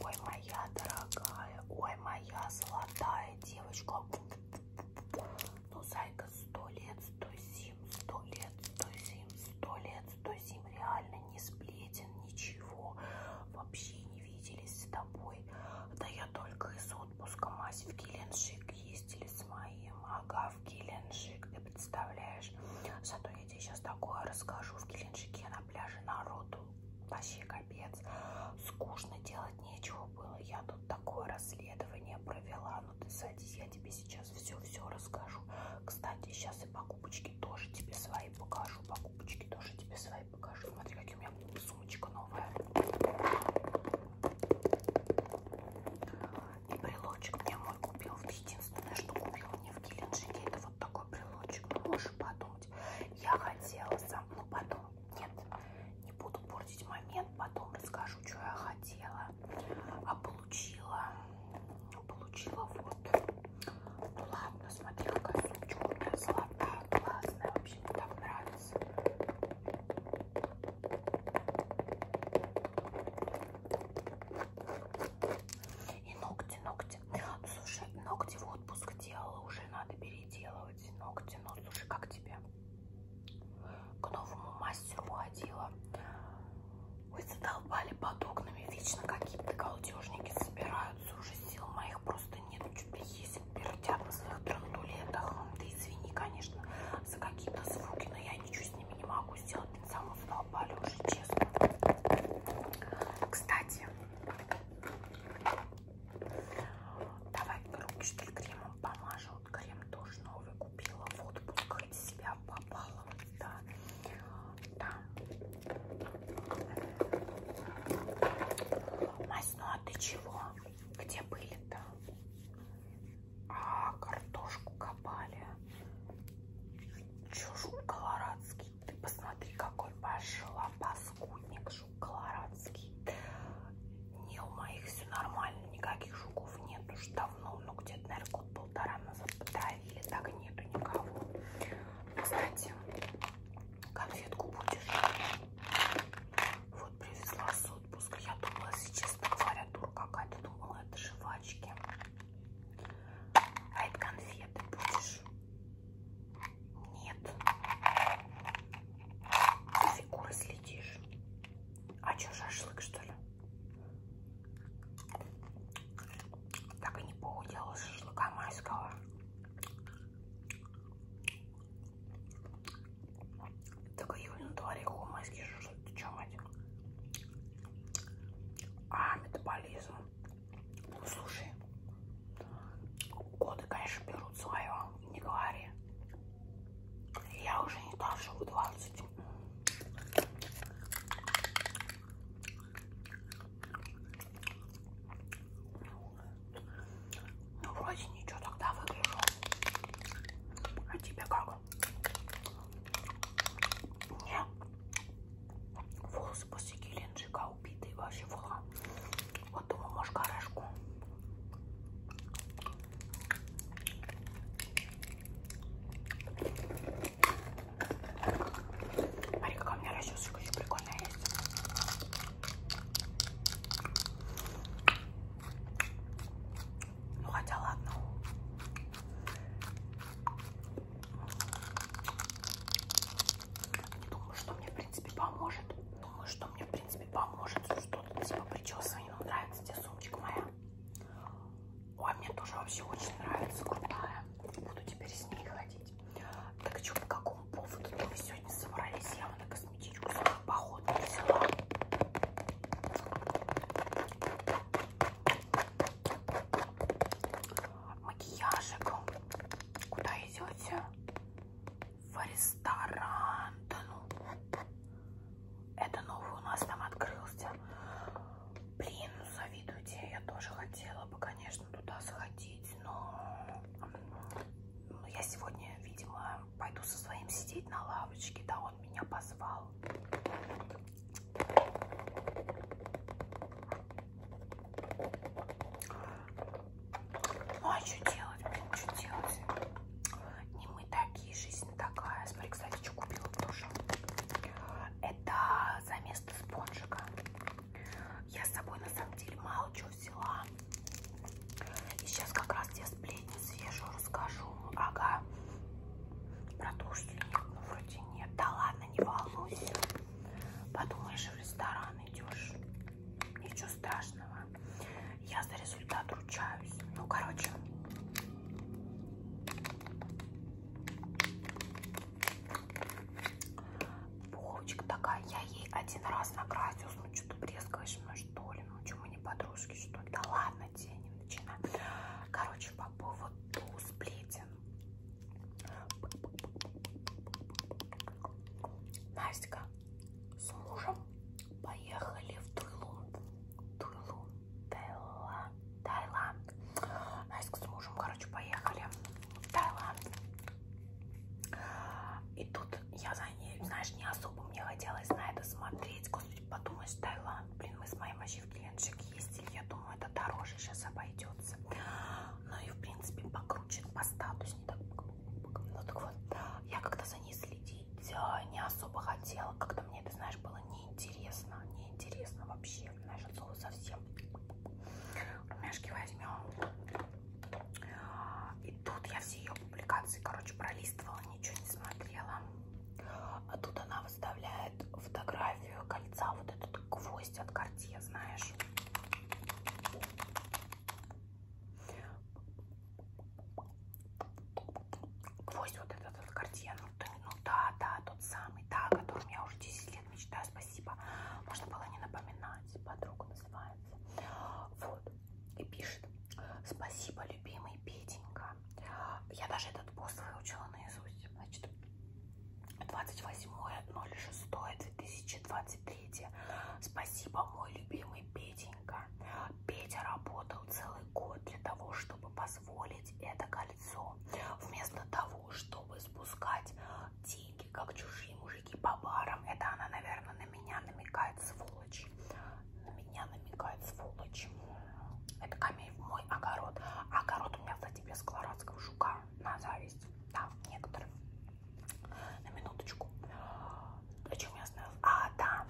Ой, моя дорогая, ой, моя золотая девочка. Ну, зайка, сто лет, сто зим, сто лет, сто зим, сто лет, сто зим. Реально не сплетен, ничего. Вообще не виделись с тобой. Да я только из отпуска, мась, в Геленджик ездили с моим. Ага, в Геленджик, ты представляешь? Зато я тебе сейчас такое расскажу. В Геленджике на пляже народу вообще капец. Скучно делать нечего было. Я тут такое расследование провела. Ну ты садись, я тебе сейчас все-все расскажу. Кстати, сейчас и покупочки тоже тебе свои покажу. Покупочки тоже тебе свои покажу. Смотри, какие у меня сумочка новая. И брелочек мне мой купил. Единственное, что купила мне в Геленджике, это вот такой брелочек, ну, можешь подумать. Я хотела сам, ну потом, нет, не буду портить момент, потом расскажу, что я хотела. А получила, ну, получила вот, ну ладно, смотри, какая сумочка у меня золотая, классная, вообще мне так нравится. И ногти, ногти ногти. Ну, слушай, ногти в отпуск делала, уже надо переделывать ногти. Ну, слушай, как тебе? К новому мастеру ходила. Вы задолбали под окнами, вечно какие-то колдежники собираются. Уже сил моих просто нет, чуть ли есть пердят на своих трандулетах. Ты извини, конечно, за какие-то звуки, но я ничего с ними не могу укусил этот самый в уже, честно. Кстати, давай руки что ли кремом помажу. Крем тоже новый купила в отпуск, от себя попала. Да. да. Мась, ну а ты чего? Где были-то? А, картошку копали. Чужу колорадский. Ты посмотри, какой пошла паскудник жук колорадский. Не, у моих все нормально, никаких жуков нет уж давно. Ну, где-то, наверное, год-полтора назад потравили, так и нету никого. Кстати, конфетку будешь? Вот привезла с отпуска. Я думала, если честно говоря, дур какая-то. Думала, это жвачки. А это конфеты будешь? Нет. За фигурой следишь. А что, шашлык, что ли? Так и не поудела шашлыка майского. Так июль на дворе, ху, майский шашлык, ты чё, мать? А, метаболизм. Ну, слушай, годы, конечно, берут свое, не говори. Я уже не та, что в 20. Ну, вроде ничего, тогда выгляжу. А тебе как? его. Мне волосы после геленджика убитые вообще фула. Вот думаю, может, гаражку. Смотри, какая у меня расчесочка еще прикольная есть. Ну хотя ладно. Не думаю, что мне в принципе поможет. Думаю, что мне в принципе поможет что-то типа причесывания. Ну, нравится тебе сумочка моя. Ой, мне тоже вообще очень нравится, крутая. Буду теперь с ней ходить. Так что по какому поводу -то мы сегодня собрались? Я на косметичку поход взяла. Макияжик. Куда идете? В ресторан. Да ну. Это новый у нас там открылся. Блин, ну завидуйте. Я тоже хотела бы, конечно, туда сходить, но... но ну, я сегодня, видимо, пойду со своим сидеть на лавочке. Да, он меня позвал. Ну а что делать, блин, что делать? Не мы такие, жизнь такая. Смотри, кстати, что купила тоже. Это за место спонжика. Я с собой на самом деле мало чего взяла. И сейчас как раз те сплетни последний съезжу, расскажу. Ага. Про то, что нет, ну вроде нет. Да ладно, не волнуйся. Подумаешь, в ресторан идешь. Ничего страшного. Я за результат ручаюсь. Ну, короче. Пуховочка такая, я ей один раз накрасилась, ну что ты брезгаешь мной, ну, что ли? Ну, чему не подружки, что ли? Да ладно, затенем, начинаем. Короче, по поводу сплетен. Настя с мужем поехали в Туйлунд. Туйлунд, Таиланд. Настя с мужем, короче, поехали в Таиланд. И тут я за ней, знаешь, не особо мне хотелось на это смотреть. Господи, подумать, Таиланд. Блин, мы с моим вообще в клиентчик ездили. Я думаю, это дороже сейчас обойдется. Ну и, в принципе, покруче по статусу. Не так... Ну так вот, я как-то за ней следить э, не особо хотела. Как-то мне это, знаешь, было неинтересно. Неинтересно вообще. Знаешь, от слова совсем. Румяшки возьмем. И тут я все ее публикации, короче, пролистывала, ничего не смотрела. А тут она выставляет фотографию кольца, вот этот гвоздь от Cartier, знаешь. Гвоздь вот этот от Cartier, ну, то, ну да, да, тот самый, да, о котором я уже 10 лет мечтаю, спасибо. Можно было не напоминать, подруга называется. Вот, и пишет. Спасибо, любимый Петенька. Я даже этот пост выучила наизусть. Значит, 28.06.2023. Спасибо, мой любимый Петенька. Петя работал целый год для того, чтобы позволить это кольцо. Вместо того, чтобы спускать деньги, как чужие мужики по барам. Это она, наверное, на меня намекает сволочь. На меня намекает сволочь. Это камень в мой огород. Огород у меня, кстати, без колорадского жука. На зависть. Да, некоторые. На минуточку. О чем я остановилась? А, да.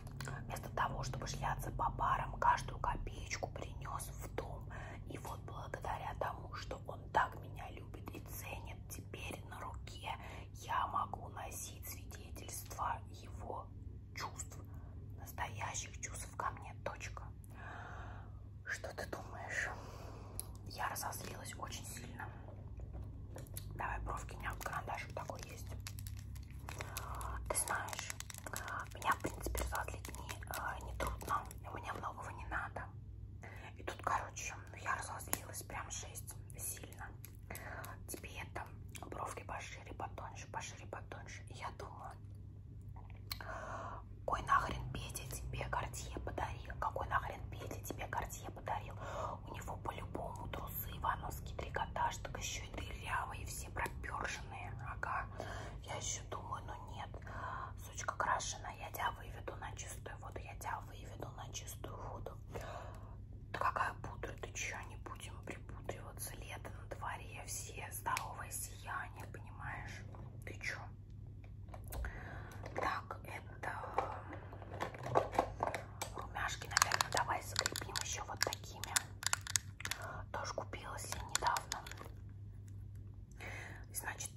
Вместо того, чтобы шляться по барам, каждую копеечку принес в дом. И вот благодаря тому, что он так меня любит и ценит, теперь на руке я могу носить свидетельство его чувств, настоящих чувств ко мне, точка. Что ты думаешь? Я разозлилась очень сильно. Давай бровки, у меня карандашик такой есть. Ты знаешь, меня, в принципе, разозлить не, э, не трудно, мне многого не надо. И тут, короче, я разозлилась прям жесть сильно тебе там бровки пошире, потоньше, пошире, потоньше. И я думаю, какой нахрен Петя тебе Кортье подарил? Какой нахрен Петя тебе Кортье подарил? У него по-любому трусы ивановский трикотаж, так еще и дырявые, все проперженные. Ага. Я еще думаю, ну нет, сучка крашена, я тебя выведу на чистую воду, я тебя выведу на чистую воду. Да какая пудра? Ты че, не будем припудриваться? Лето на дворе, все здоровое сияние, понимаешь? Ты че? Так, это румяшки, наверное, давай закрепим еще вот такими. Тоже купилась я недавно. Значит,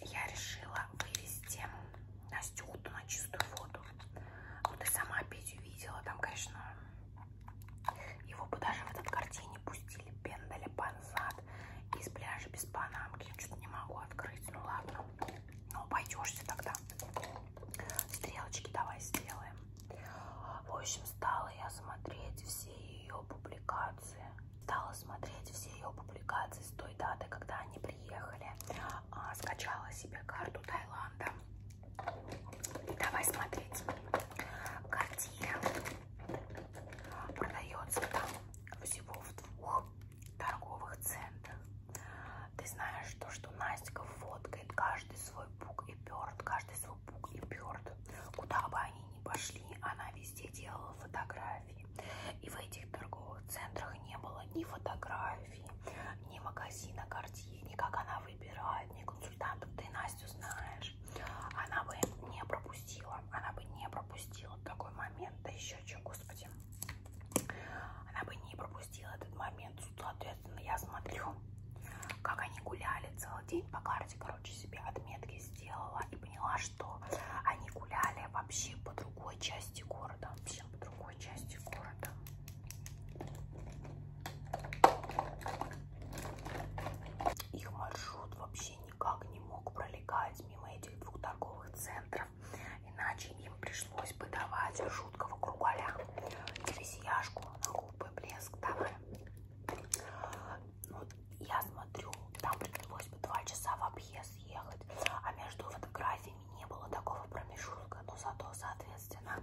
я решила вывести Настюху на чистую воду. Ну, ты сама Петю видела, там, конечно, его бы даже в этот картине пустили, пендали панзад из пляжа без панамки. Что-то не могу открыть, ну ладно. Ну, пойдешься тогда. Стрелочки давай сделаем. В общем, стала я смотреть все ее публикации. Стала смотреть все ее публикации с той даты, когда они приехали а, скачала себе карту Таиланда. И давай смотреть. Квартира продается там всего в двух торговых центрах. Ты знаешь то, что Настя фоткает каждый свой пук и перт, каждый свой пук и перт. Куда бы они ни пошли, она везде делала фотографии. И в этих торговых центрах не было ни фотографий, Сальфи, ни магазина Картье, ни как она выбирает, ни консультантов. Ты Настю знаешь. Она бы не пропустила, она бы не пропустила такой момент. Да еще что, господи. Она бы не пропустила этот момент. Соответственно, я смотрю, как они гуляли целый день по карте, короче, себе отметки сделала и поняла, что они гуляли вообще по другой части города, вообще по другой какой части города. Их маршрут вообще никак не мог пролегать мимо этих двух торговых центров, иначе им пришлось бы давать жуткого кругаля терезияшку на губы блеск давай. Ну, я смотрю, там пришлось бы два часа в объезд ехать, а между фотографиями не было такого промежутка, но зато, соответственно,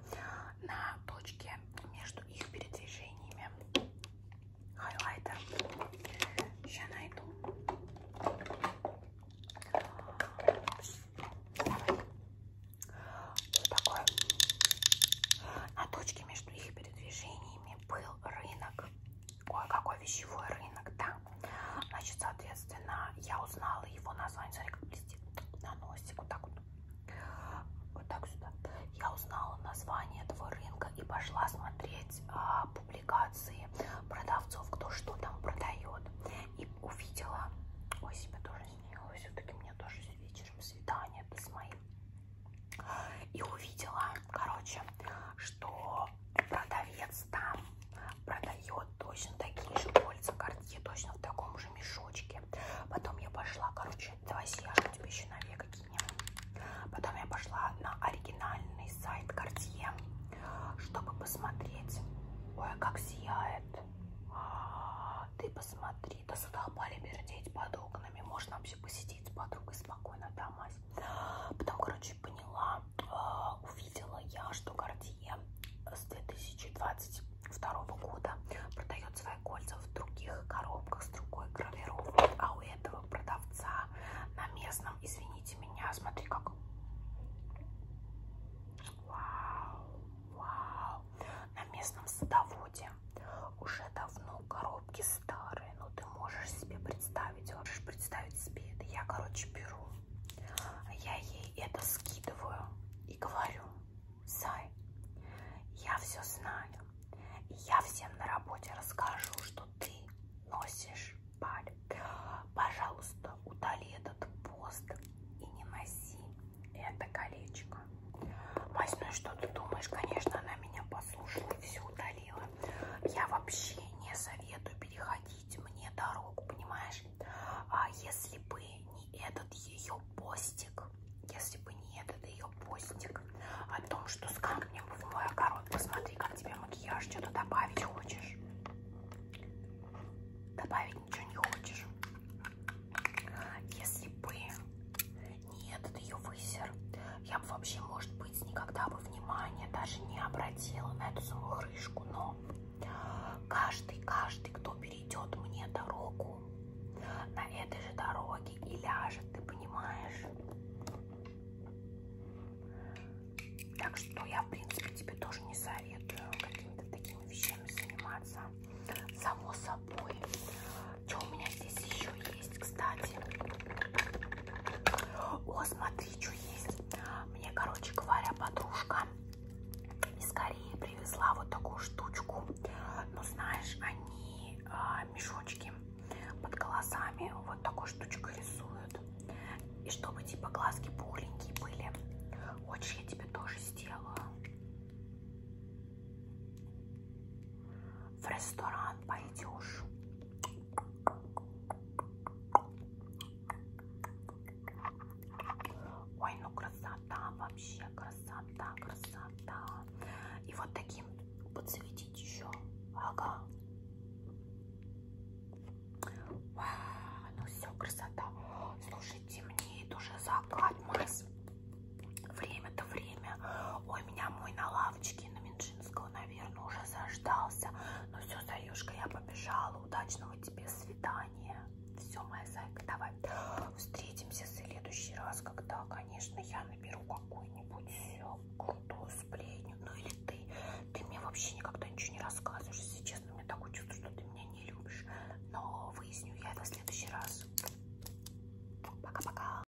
на точке между их передвижениями хайлайтер. Сейчас найду. Вот такой. На точке между их передвижениями был рынок кое-какой вещевой рынок, да. Значит, соответственно, я узнала его название, смотри, как блестит на носик, вот так вот, вот так сюда. Я узнала название этого рынка и пошла смотреть а, публикации продавцов, кто что там продает. И увидела, ой, себя тоже снила, все-таки мне тоже вечером свидание, это с моим. И увидела, короче, что продавец там продает точно такие же кольца картье, точно в таком же мешочке. Потом я пошла, короче, давай съяжу тебе еще на века Потом я пошла на оригинальный сайт Cartier, чтобы посмотреть. Ой, а как сияет. А, ты посмотри, да сюда пали бердеть под окнами. Можно вообще посидеть с подругой спокойно, да, мать? Потом, короче, поняла, э, увидела я, что Гардье с 2022 года продает свои кольца в других коробках с другой гравировкой, а у этого продавца на местном, извините меня, смотри как... Вау, вау. На местном садоводе уже давно коробки старые Ой, ну ты можешь себе представить, можешь представить себе это. Я, короче, беру, я ей это скидываю и говорю, Сай, я все знаю, и я всем на работе расскажу, что ты носишь паль. Пожалуйста, удали этот пост и не носи это колечко. Мась, ну и что ты думаешь? Конечно, она меня послушала и все удалила я вообще не советую переходить мне дорогу, понимаешь? А если бы не этот ее постик, если бы не этот ее постик о том, что с камнем в мой огород, посмотри, как тебе макияж, что-то добавить хочешь. Добавить ничего не хочешь. Если бы не этот ее высер, я бы вообще, может быть, никогда бы внимания даже не обратила на эту самую крышку, но каждый, каждый, кто перейдет мне дорогу, на этой же дороге и ляжет, ты понимаешь? Так что я, в принципе, тебе тоже не советую какими-то такими вещами заниматься. Само собой. Что у меня здесь еще есть? есть, кстати. О, смотри, что есть. Мне, короче говоря, подружка из Кореи привезла вот такую штучку. Ну, знаешь, они а, мешочки под глазами вот такой штучкой рисуют. И чтобы, типа, глазки пухленькие были. Хочешь, я тебе тоже сделаю? В ресторан пойдешь. Ой, ну красота, вообще красота, красота. И вот таким подсветить еще. Ага. Вау, ну все, красота. Слушай, темнеет уже закат, Марс. Время-то время. Ой, меня мой на лавочке Константина Минжинского, наверное, уже заждался. Но ну все, Заюшка, я побежала. Удачного тебе свидания. Все, моя зайка, давай встретимся в следующий раз, когда, конечно, я наберу какую-нибудь крутую сплетню. Ну или ты. Ты мне вообще никогда ничего не рассказываешь. Если честно, мне такое чувство, что ты меня не любишь. Но выясню я это в следующий раз. Пока-пока.